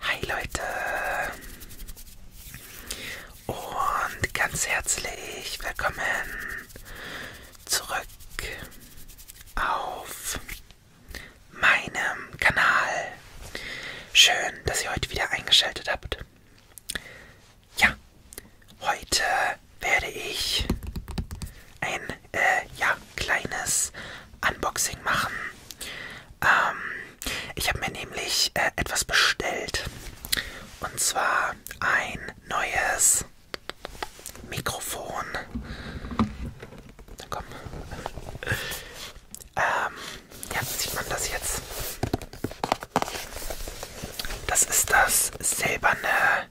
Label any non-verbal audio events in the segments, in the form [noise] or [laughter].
Hi Leute und ganz herzlich willkommen zurück auf meinem Kanal. Schön, dass ihr heute wieder eingeschaltet habt. Ja, heute werde ich ein, äh, ja, kleines Unboxing machen. Ähm, ich habe mir nämlich äh, etwas bestellt. Und zwar ein neues Mikrofon. Na komm. Ähm, ja, sieht man das jetzt? Das ist das silberne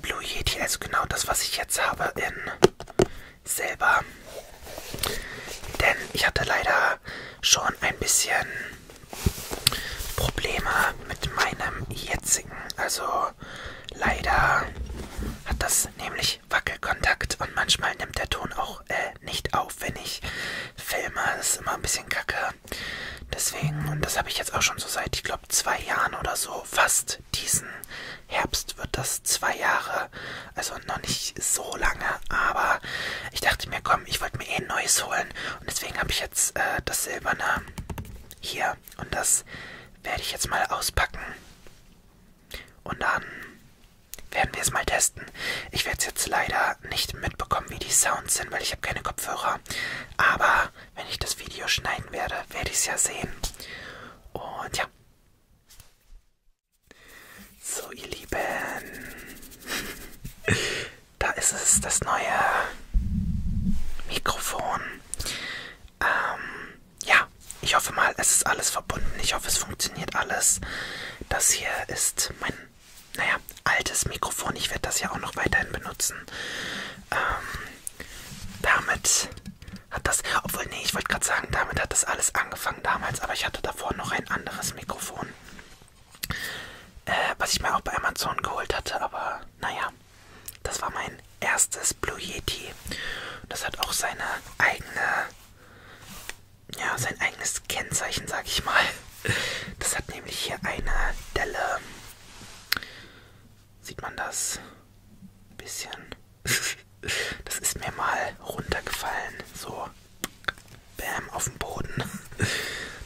Blue Yeti, also genau das, was ich jetzt habe in selber. Denn ich hatte leider schon ein bisschen Probleme mit meinem jetzigen. Also leider hat das nämlich Wackelkontakt und manchmal nimmt der Ton auch äh, nicht auf, wenn ich filme. Das ist immer ein bisschen kacke. Deswegen, und das habe ich jetzt auch schon so seit, ich glaube, zwei Jahren oder so fast und diesen Herbst wird das zwei Jahre, also noch nicht so lange, aber ich dachte mir, komm, ich wollte mir eh ein neues holen. Und deswegen habe ich jetzt äh, das silberne hier. Und das werde ich jetzt mal auspacken. Und dann werden wir es mal testen. Ich werde es jetzt leider nicht mitbekommen, wie die Sounds sind, weil ich habe keine Kopfhörer. Aber wenn ich das Video schneiden werde, werde ich es ja sehen. Und ja, so, ihr Lieben. [laughs] Da ist es, das neue Mikrofon. Ähm, ja, ich hoffe mal, es ist alles verbunden. Ich hoffe, es funktioniert alles. Das hier ist mein, naja, altes Mikrofon. Ich werde das ja auch noch weiterhin benutzen. Ähm, damit hat das, obwohl, nee, ich wollte gerade sagen, damit hat das alles angefangen damals, aber ich hatte davor noch ein anderes Mikrofon, äh, was ich mir auch bei Amazon geholt hatte, aber naja, das war mein erstes Blue Yeti. Das hat auch seine eigene, ja, sein eigenes Kennzeichen, sag ich mal. Das hat nämlich hier eine Delle. Sieht man das? Ein bisschen. [laughs] Das ist mir mal runtergefallen. So. Bäm, auf dem Boden. [laughs]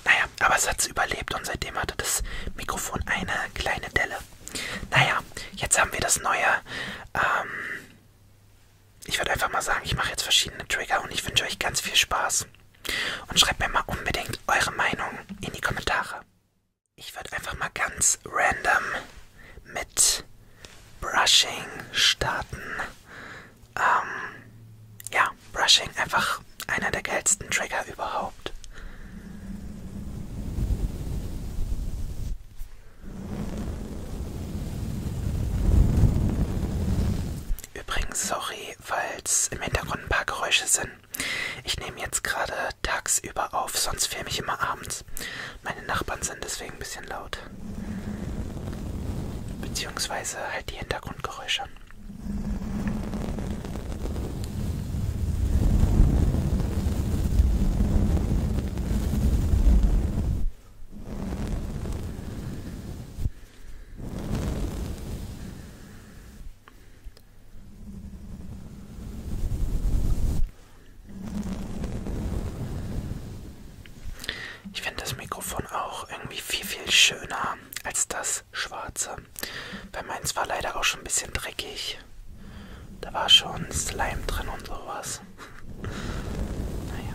Naja, aber es hat es überlebt und seitdem hatte das Mikrofon eine kleine Delle. Naja, jetzt haben wir das neue. Ähm, ich würde einfach mal sagen, ich mache jetzt verschiedene Trigger und ich wünsche euch ganz viel Spaß. Und schreibt mir mal unbedingt eure Meinung in die Kommentare. Ich würde einfach mal ganz random mit Brushing starten. Ähm, ja, Brushing einfach einer der geilsten Trigger überhaupt. Übrigens, sorry, falls im Hintergrund ein paar Geräusche sind. Ich nehme jetzt gerade tagsüber auf, sonst filme ich immer abends. Holz. Meine Nachbarn sind deswegen ein bisschen laut. Beziehungsweise halt die Hintergrundgeräusche. Ich finde das Mikrofon auch irgendwie viel, viel schöner als das schwarze. Bei meins war leider auch schon ein bisschen dreckig. Da war schon Slime drin und sowas. [laughs] naja.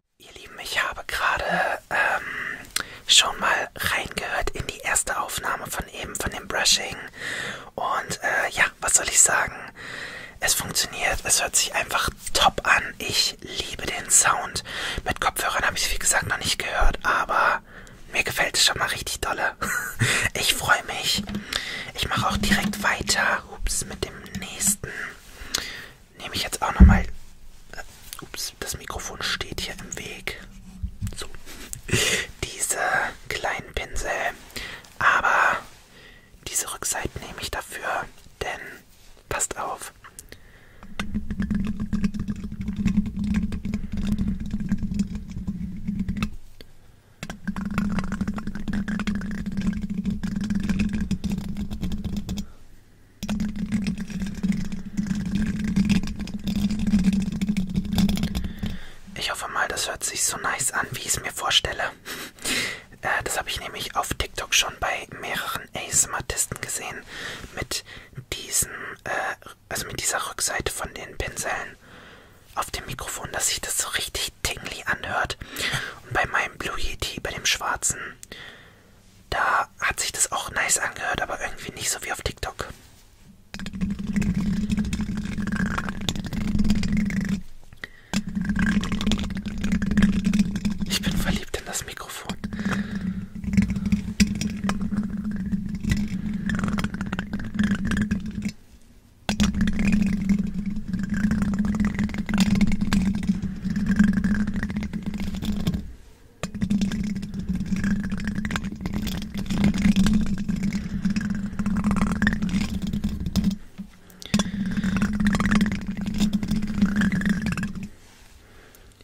Ihr Lieben, ich habe gerade ähm, schon mal reingehört in die erste Aufnahme von eben, von dem Brushing. Und äh, ja, was soll ich sagen? Es funktioniert, es hört sich einfach top an. Ich liebe den Sound. Mit Kopfhörern habe ich es, wie gesagt, noch nicht gehört, aber mir gefällt es schon mal richtig dolle. [laughs] ich freue mich. Ich mache auch direkt weiter. Ups, mit dem nächsten nehme ich jetzt auch nochmal. Äh, ups, das Mikrofon steht hier im Weg. So. Diese kleinen Pinsel. Aber diese Rückseite nehme ich dafür, denn passt auf. Ich hoffe mal, das hört sich so nice an, wie ich es mir vorstelle. [laughs] äh, das habe ich nämlich auf TikTok schon bei mehreren ASMRtisten gesehen. Mit diesen, äh, also mit dieser Rückseite von den Pinseln auf dem Mikrofon, dass sich das so richtig tingly anhört. Und bei meinem Blue Yeti, bei dem schwarzen, da hat sich das auch nice angehört, aber irgendwie nicht so wie auf TikTok. Ich bin verliebt in das Mikrofon.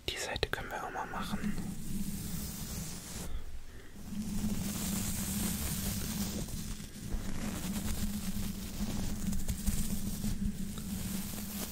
Die Seite können wir auch mal machen.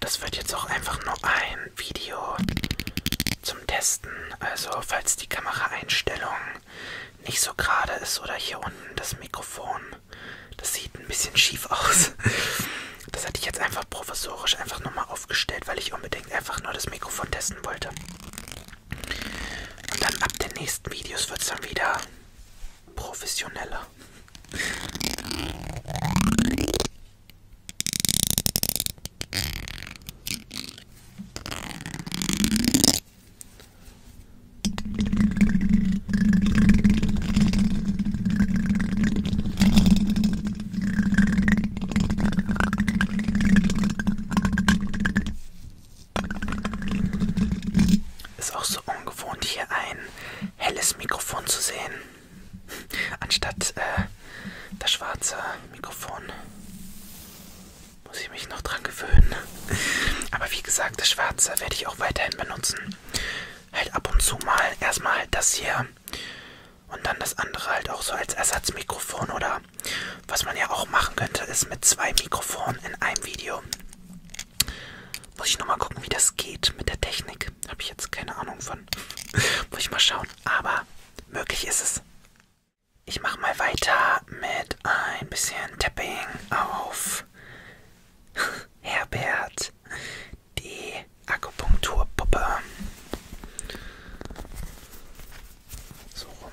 Das wird jetzt auch einfach nur ein Video zum Testen. Also falls die Kameraeinstellung nicht so gerade ist oder hier unten das Mikrofon, das sieht ein bisschen schief aus. [laughs] Das hatte ich jetzt einfach provisorisch einfach nochmal aufgestellt, weil ich unbedingt einfach nur das Mikrofon testen wollte. Und dann ab den nächsten Videos wird es dann wieder professioneller. Ist auch so ungewohnt, hier ein helles Mikrofon zu sehen. Anstatt äh, das schwarze Mikrofon muss ich mich noch dran gewöhnen. Aber wie gesagt, das schwarze werde ich auch weiterhin benutzen. Halt ab und zu mal erstmal das hier und dann das andere halt auch so als Ersatzmikrofon oder was man ja auch machen könnte, ist mit zwei Mikrofonen in einem Video muss ich nochmal gucken, wie das geht mit der Technik. Habe ich jetzt keine Ahnung von. [laughs] Muss ich mal schauen. Aber möglich ist es. Ich mache mal weiter mit ein bisschen Tapping auf [laughs] Herbert, die Akupunkturpuppe. So rum.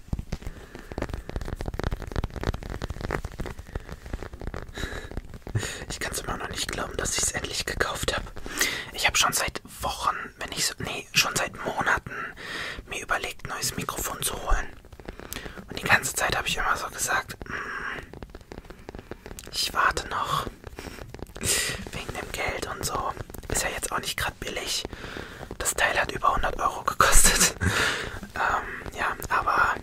[laughs] Ich kann es immer noch nicht glauben, dass ich es endlich gekauft habe. Ich habe schon seit Wochen, wenn ich so, nee, schon seit Monaten mir überlegt, neues Mikrofon zu holen. Und die ganze Zeit habe ich immer so gesagt, hm, ich warte noch wegen dem Geld und so. Ist ja jetzt auch nicht gerade billig. Das Teil hat über 100 Euro gekostet. [laughs] ähm, ja, aber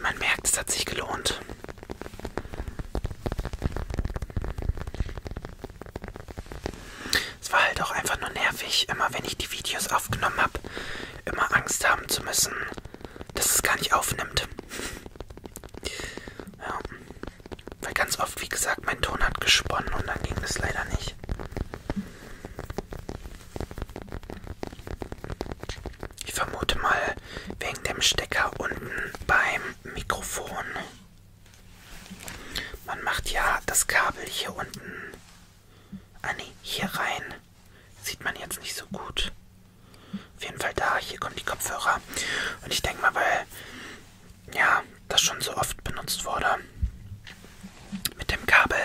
man merkt, es hat sich gelohnt. Es war halt auch einfach nur nervig, immer wenn ich die Videos aufgenommen habe, immer Angst haben zu müssen, dass es gar nicht aufnimmt. [laughs] Ja. Weil ganz oft, wie gesagt, mein Ton hat gesponnen und dann ging es leider nicht. Ich vermute mal wegen dem Stecker unten beim Mikrofon. Man macht ja das Kabel hier unten. Ah ne, hier rein. Sieht man jetzt nicht so gut. Auf jeden Fall da, hier kommen die Kopfhörer. Und ich denke mal, weil ja, das schon so oft benutzt wurde mit dem Kabel,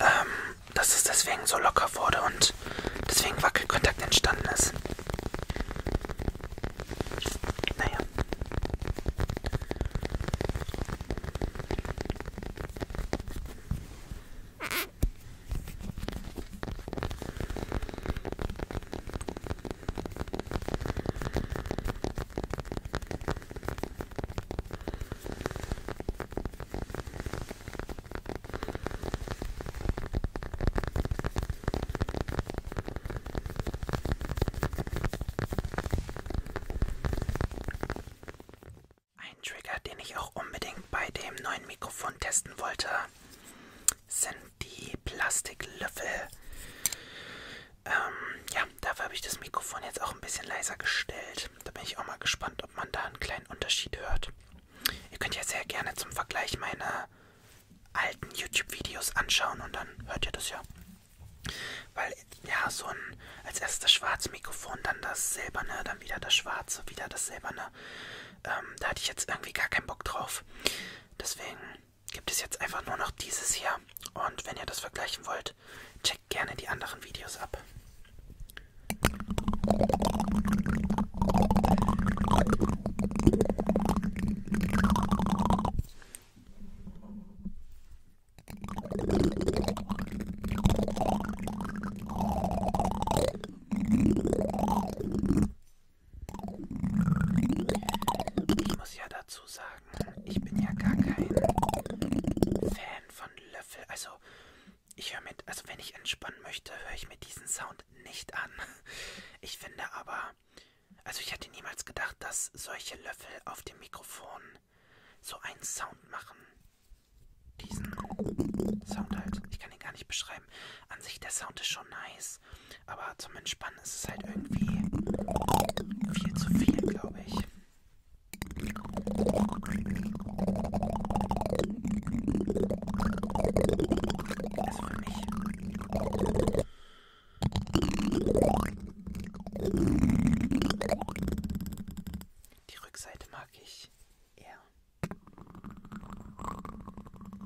ähm, dass es deswegen so locker wurde und deswegen Wackelkontakt entstanden ist. Naja. Ein Trigger, den ich auch unbedingt bei dem neuen Mikrofon testen wollte, sind die Plastiklöffel. Ähm, ja, dafür habe ich das Mikrofon jetzt auch ein bisschen leiser gestellt. Da bin ich auch mal gespannt, ob man da einen kleinen Unterschied hört. Ihr könnt ja sehr gerne zum Vergleich meine alten YouTube-Videos anschauen und dann hört ihr das ja. Weil, ja, so ein als erstes das schwarze Mikrofon, dann das silberne, dann wieder das schwarze, wieder das silberne. Ähm, da hatte ich jetzt irgendwie gar keinen Bock drauf. Deswegen gibt es jetzt einfach nur noch dieses hier. Und wenn ihr das vergleichen wollt, checkt gerne die anderen Videos ab. Ich muss ja dazu sagen, ich bin ja gar kein Fan von Löffel. Also, ich höre mit, also wenn ich entspannen möchte, höre ich mir diesen Sound nicht an. Ich finde aber, also ich hätte niemals gedacht, dass solche Löffel auf dem Mikrofon so einen Sound machen. Diesen Sound halt. Ich kann ihn gar nicht beschreiben. An sich, der Sound ist schon nice krass. Aber zum Entspannen ist es halt irgendwie viel zu viel, glaube ich. Also für mich. Die Rückseite mag ich eher.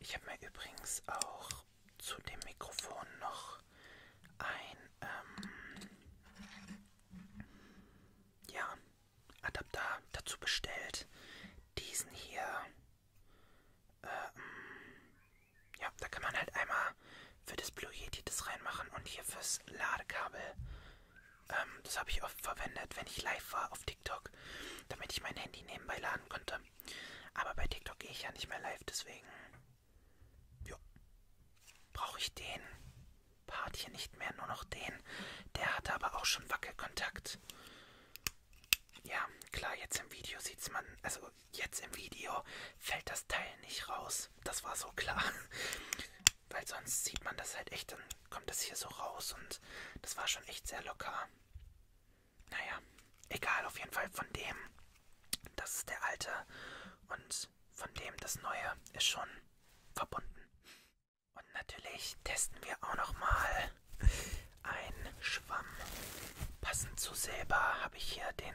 Ich habe mir übrigens auch zu dem Mikrofon noch ein ähm, ja, Adapter dazu bestellt. Diesen hier. Ähm, ja, da kann man halt einmal für das Blue Yeti das reinmachen und hier fürs Ladekabel. Ähm, das habe ich oft verwendet, wenn ich live war auf TikTok, damit ich mein Handy nebenbei laden konnte. Aber bei TikTok gehe ich ja nicht mehr live, deswegen. Jo. Brauche ich den Part hier nicht mehr, nur noch den. Der hatte aber auch schon Wackelkontakt. Ja, klar, jetzt im Video sieht's man. Also jetzt im Video fällt das Teil nicht raus. Das war so klar. [laughs] Weil sonst sieht man das halt echt, dann kommt das hier so raus und das war schon echt sehr locker. Naja, egal, auf jeden Fall von dem, das ist der alte und von dem das neue ist schon verbunden. Und natürlich testen wir auch nochmal einen Schwamm. Passend zu Silber habe ich hier den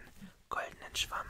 goldenen Schwamm.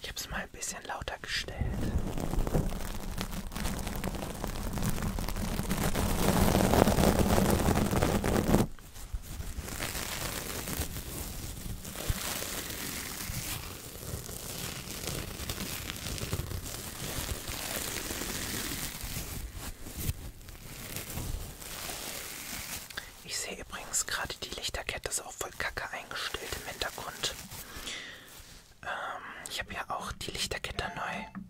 Ich habe es mal ein bisschen lauter gestellt. Ich sehe übrigens gerade die Lichterkette ist auch voll kacke eingestellt im Hintergrund. Ähm, ich habe ja auch die Lichterkette neu.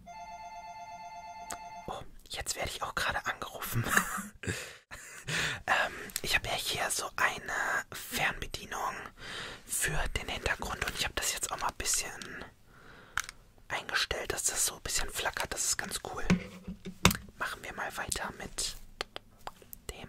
Oh, jetzt werde ich auch gerade angerufen. [laughs] ähm, ich habe ja hier so eine Fernbedienung für den Hintergrund und ich habe das jetzt auch mal ein bisschen eingestellt, dass das so ein bisschen flackert. Das ist ganz cool. Machen wir mal weiter mit dem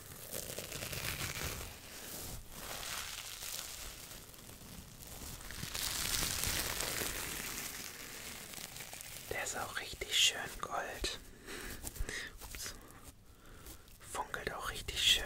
Der ist auch richtig schön gold. Ups. Funkelt auch richtig schön.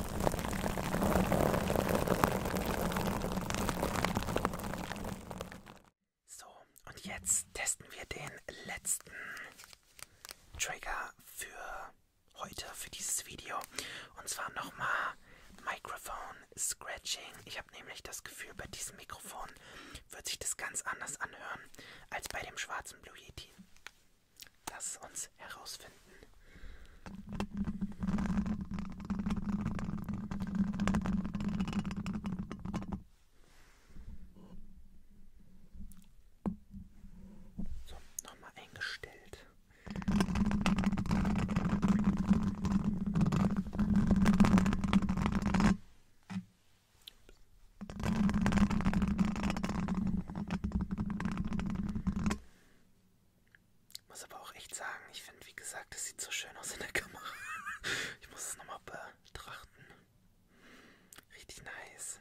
So, und jetzt testen wir den letzten Trigger für heute, für dieses Video. Und zwar nochmal Microphone Scratching. Ich habe nämlich das Gefühl, bei diesem Mikrofon wird sich das ganz anders anhören als bei dem schwarzen Blue Yeti. Lass uns herausfinden. So, nochmal eingestellt. Muss aber auch echt sagen, ich finde, wie gesagt, es sieht so schön aus in der Kamera. [laughs] ich muss es nochmal betrachten. Richtig nice.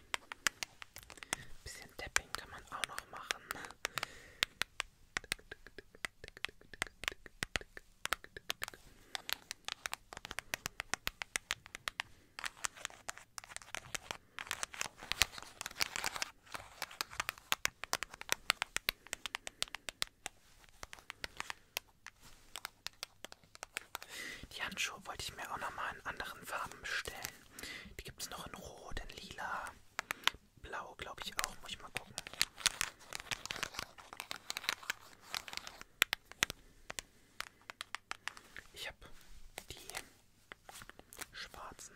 Ein bisschen Tapping kann man auch noch machen. Ne? Die Handschuhe wollte ich mir auch nochmal in anderen Farben bestellen. Die gibt es noch in Rot, in Lila. Blau, glaube ich auch. Muss ich mal gucken. Ich habe die schwarzen.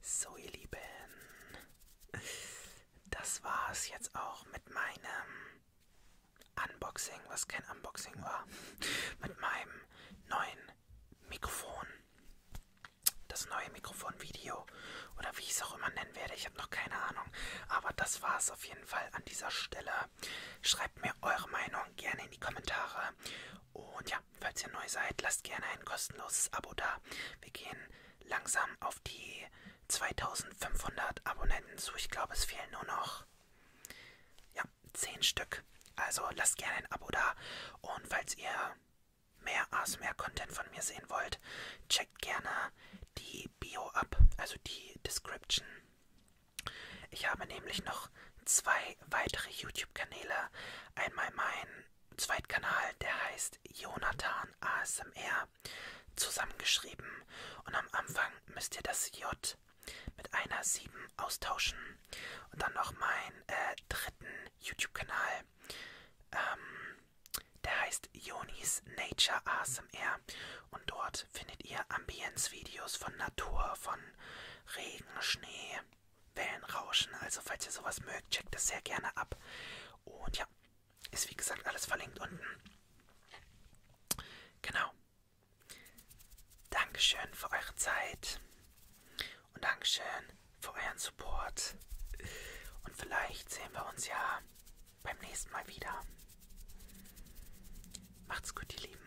So ihr Lieben, das war's jetzt auch mit meinem Unboxing, was kein Unboxing war, mit meinem neuen Mikrofon. Das neue Mikrofonvideo oder wie ich es auch immer nennen werde, ich habe noch keine Ahnung. Aber das war's auf jeden Fall an dieser Stelle. Schreibt mir eure Meinung gerne in die Kommentare. Und ja, falls ihr neu seid, lasst gerne ein kostenloses Abo da. Wir gehen langsam auf die 2500 Abonnenten zu. Ich glaube, es fehlen nur noch ja, 10 Stück. Also lasst gerne ein Abo da. Und falls ihr mehr ASMR-Content von mir sehen wollt, checkt gerne die Bio ab, also die Description. Ich habe nämlich noch zwei weitere YouTube-Kanäle. Einmal meinen Zweitkanal, der heißt Jonathan ASMR, zusammengeschrieben. Und am Anfang müsst ihr das J mit einer 7 austauschen. Und dann noch meinen äh, dritten YouTube-Kanal. Ähm, der heißt Jonis Nature ASMR. Und dort findet ihr Ambience-Videos von Natur, von Regen, Schnee, Wellenrauschen. Also falls ihr sowas mögt, checkt das sehr gerne ab. Und ja, ist wie gesagt alles verlinkt unten. Genau. Dankeschön für eure Zeit. Und Dankeschön für euren Support. Und vielleicht sehen wir uns ja beim nächsten Mal wieder. Macht's gut, ihr Lieben.